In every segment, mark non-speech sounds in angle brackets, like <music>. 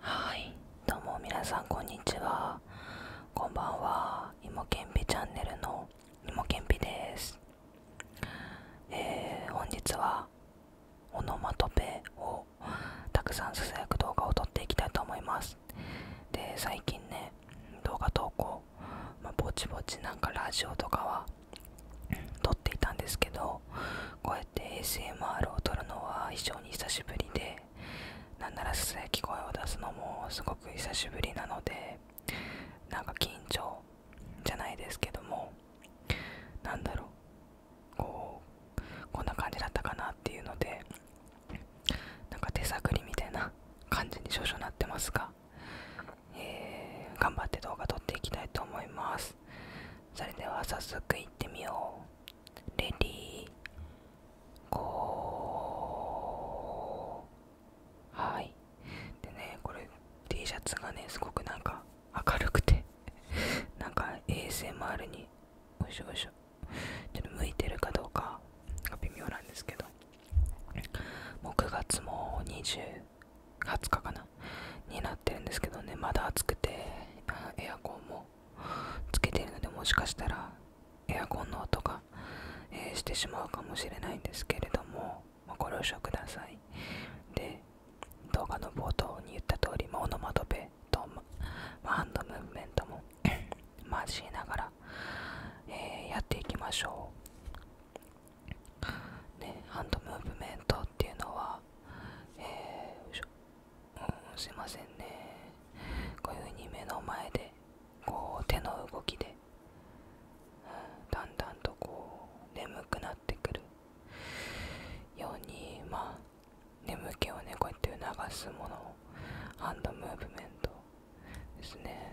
はいどうも皆さんこんにちはこんばんはいもけんぴチャンネルのいもけんぴですえ本日はオノマトペをたくさんささやく動画を撮っていきたいと思いますで最近ね動画投稿、まぼちぼちなんかラジオとかは撮っていたんですけどこうやって ASMR を撮るのは非常に久しぶりでなんならすさやき声を出すのもすごく久しぶりなのでなんか緊張じゃないですけどもなんだろうこうこんな感じだったかなっていうのでなんか手探りみたいな感じに少々なってますがえ頑張って動画撮っていきたいと思いますそれでは早速いってみようレディーゴーはいでねこれ T シャツがねすごくなんか明るくて <laughs> なんか ASMR においしょおいしょちょっと向いてるかどうかが微妙なんですけどもう9月も20 20日かなになってるんですけどねまだ暑くてエアコンもつけてるのでもしかしたらエアコンの音が、えー、してしまうかもしれないんですけれども、まご了承くださいで動画の冒頭に言った通り、まあ、オノマトペと、まハンドムーブメントも交 <laughs> しながら、えやっていきましょうね、ハンドムーブメントっていうのは、すいませんねこういうふうに目の前でこう手の動きで、だんだんとこう眠くなってくるようにまあ眠気をねこうやって促すものをハンドムーブメントですね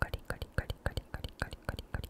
カリカリカリカリカリカリカリカリ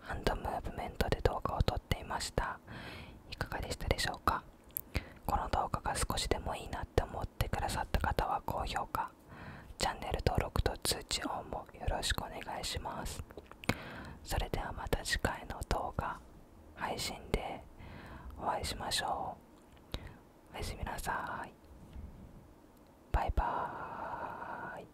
ハンドムーブメントで動画を撮っていましたいかがでしたでしょうかこの動画が少しでもいいなって思ってくださった方は高評価チャンネル登録と通知音もよろしくお願いしますそれではまた次回の動画配信でお会いしましょうおやすみなさいバイバーイ